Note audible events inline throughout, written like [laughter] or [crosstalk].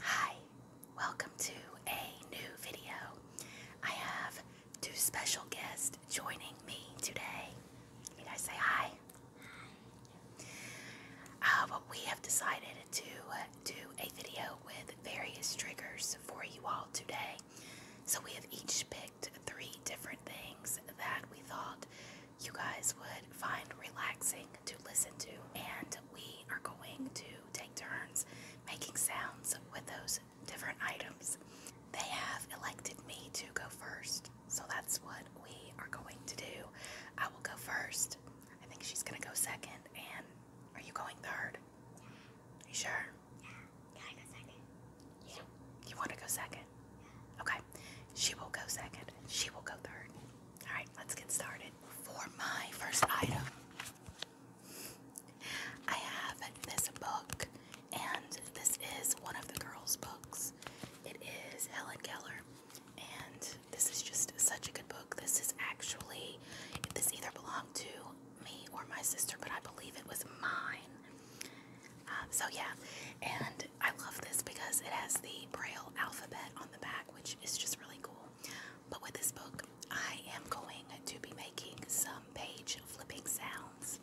Hi, welcome to a new video. I have two special guests joining me today. you guys say hi? Hi. Uh, we have decided to uh, do a video with various triggers for you all today. So we have each picked three different things that we thought you guys would find relaxing to listen to. And we are going to take turns making sounds with those different items. They have elected me to go first, so that's what we are going to do. I will go first. I think she's going to go second, and are you going third? Yeah. You sure? Yeah. Can I go second? Yeah. You want to go second? Yeah. Okay. She will go second. She will go third. All right, let's get started for my first item, I have this book, and this is one of the girls' books. It is Helen Keller, and this is just such a good book. This is actually, this either belonged to me or my sister, but I believe it was mine. Um, so, yeah, and I love this because it has the Braille alphabet on the back, which is just really cool. But with this book, I am going to be making some page flipping sounds.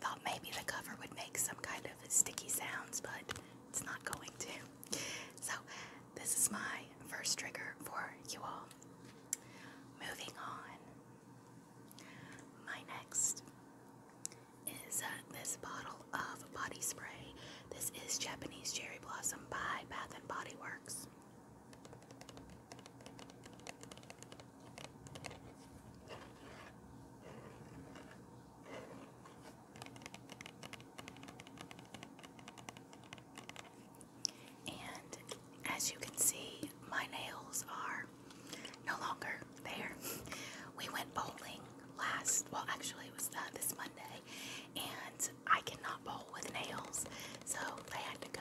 Thought maybe the cover would make some kind of sticky sounds, but it's not going to. So this is my first trigger for you all. Moving on. My next is uh, this bottle of body spray. This is Japanese Cherry Blossom by Bath and Body Works. And as you can see, my nails are no longer there. We went bowling last, well, actually, it was uh, this Monday, and I cannot bowl with nails, so they had to go.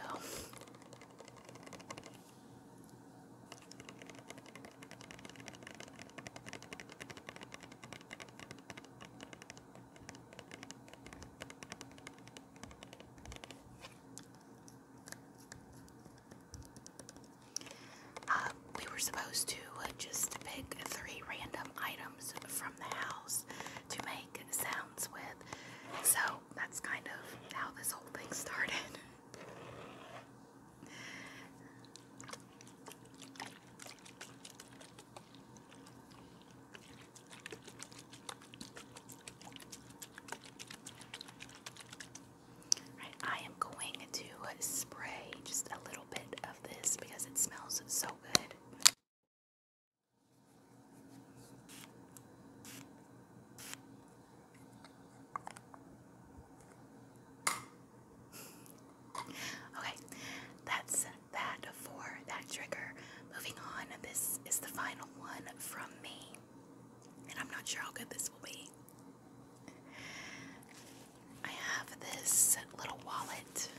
Uh, we were supposed to uh, just pick three random items from the house to make sounds with, so that's kind of how this whole thing [laughs] started. I am going to spray just a little bit of this because it smells so good. Okay, that's that for that trigger. Moving on, this is the final one from me, and I'm not sure how good this will be. I have this little wallet.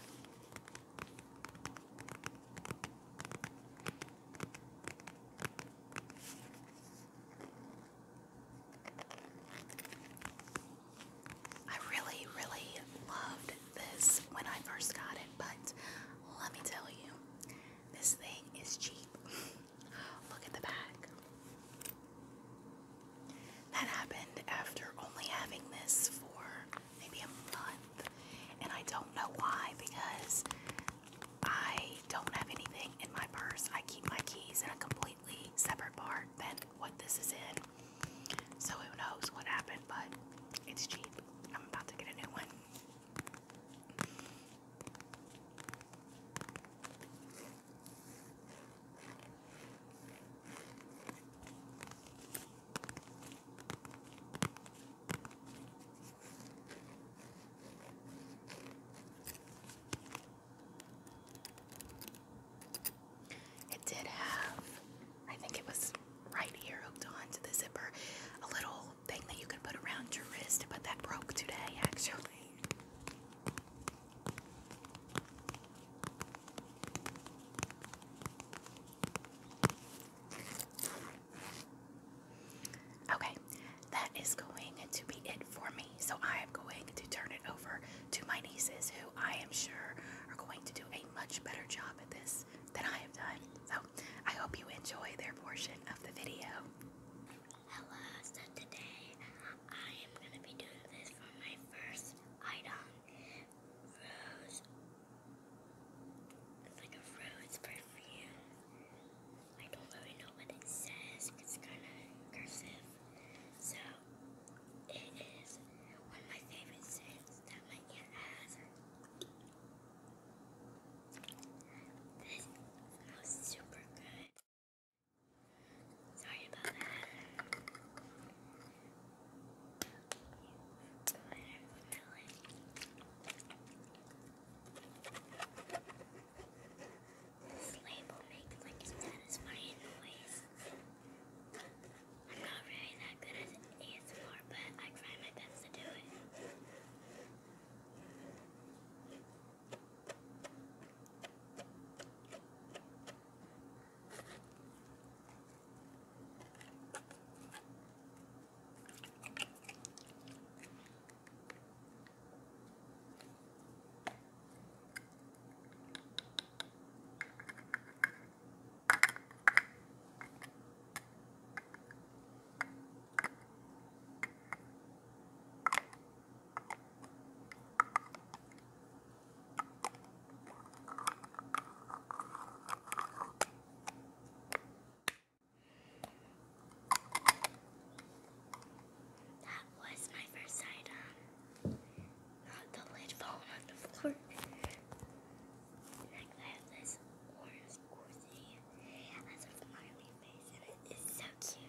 I really, really loved this when I first got it, but let me tell you, this thing is cheap. [laughs] Look at the back. That happened after only having this for maybe a month, and I don't know why because I don't have anything in my purse. I keep my keys in a completely separate part than what this is in. So who knows what happened, but it's cheap. I'm about to get a new one. It did have, I think it was right here hooked onto the zipper, a little thing that you could put around your wrist, but that broke today actually. Okay, that is going to be it for me. So I am going to turn it to my nieces, who I am sure are going to do a much better job at this than I have done. So I hope you enjoy their portion of the video. Hello, so today I am going to be doing this for my first item. It's like a rose perfume. I don't really know what it says, it's kind of cursive. So it is one of my favorite scents that my aunt has. This smells super good. Sorry about that. This label makes like a satisfying noise. I'm not really that good at ASMR, but I try my best to do it. That was my first item. Not the lid falling on the floor. Next, I have this orange cozy as a smiley face, and it is so cute.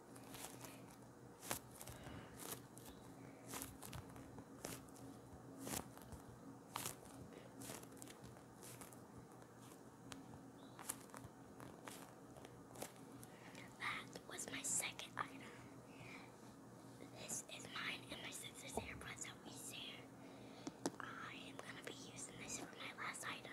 That was my second item. This is mine and my sister's AirPods that we share. I am gonna be using this for my last item.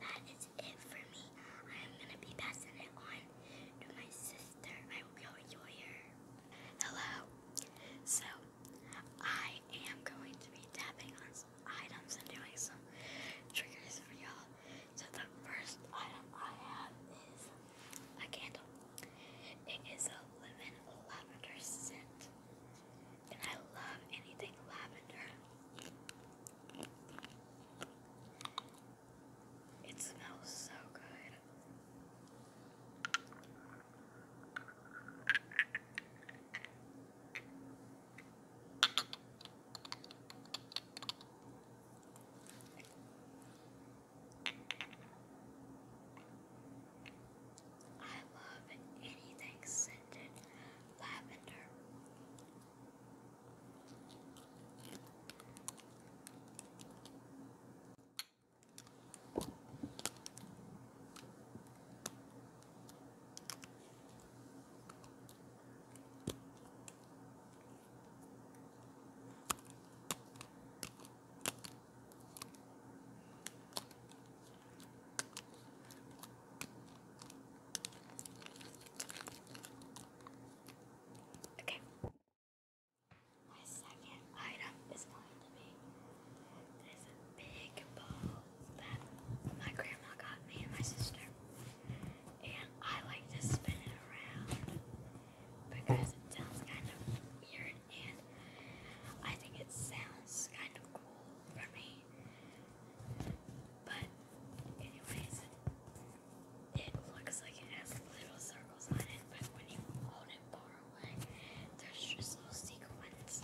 That is it for me. I'm gonna be passing it on to my sister. I hope you enjoy Hello. So I am going to be tapping on some items and doing some triggers for y'all. So the first item I have is a candle. It is a lemon lavender scent. And I love anything lavender. It smells so good. I love anything scented lavender. Okay. My second item is mine to big bowl that my grandma got me and my sister. And I like to spin it around because it sounds kind of weird and I think it sounds kind of cool for me. But anyways, it looks like it has little circles on it, but when you hold it there's just little sequins,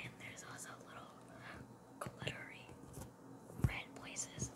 and there's also little glittery red places.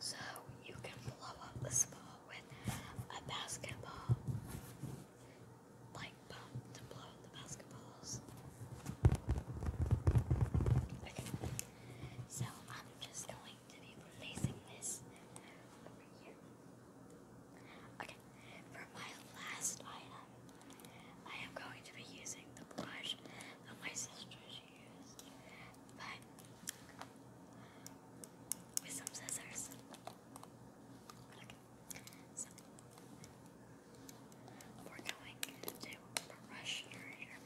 So you can blow up this ball with a basketball, like pump to blow up the basketballs. Okay, so I'm just going going to be placing this over here. Okay, for my last item, I am going to be using the brush that my sisters used, but with some scissors. Okay, so we're going to brush your hair.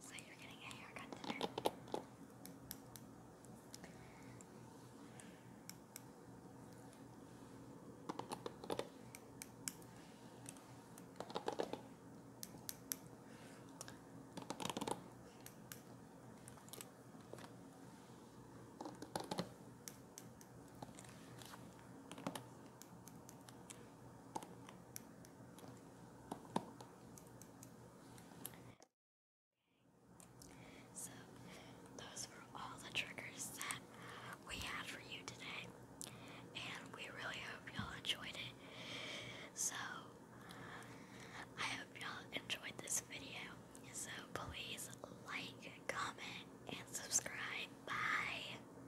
So you're getting a haircut today. Okay. So, those were all the triggers that we had for you today, and we really hope y'all enjoyed it. So, I hope y'all enjoyed this video. So, please like, comment, and subscribe. Bye.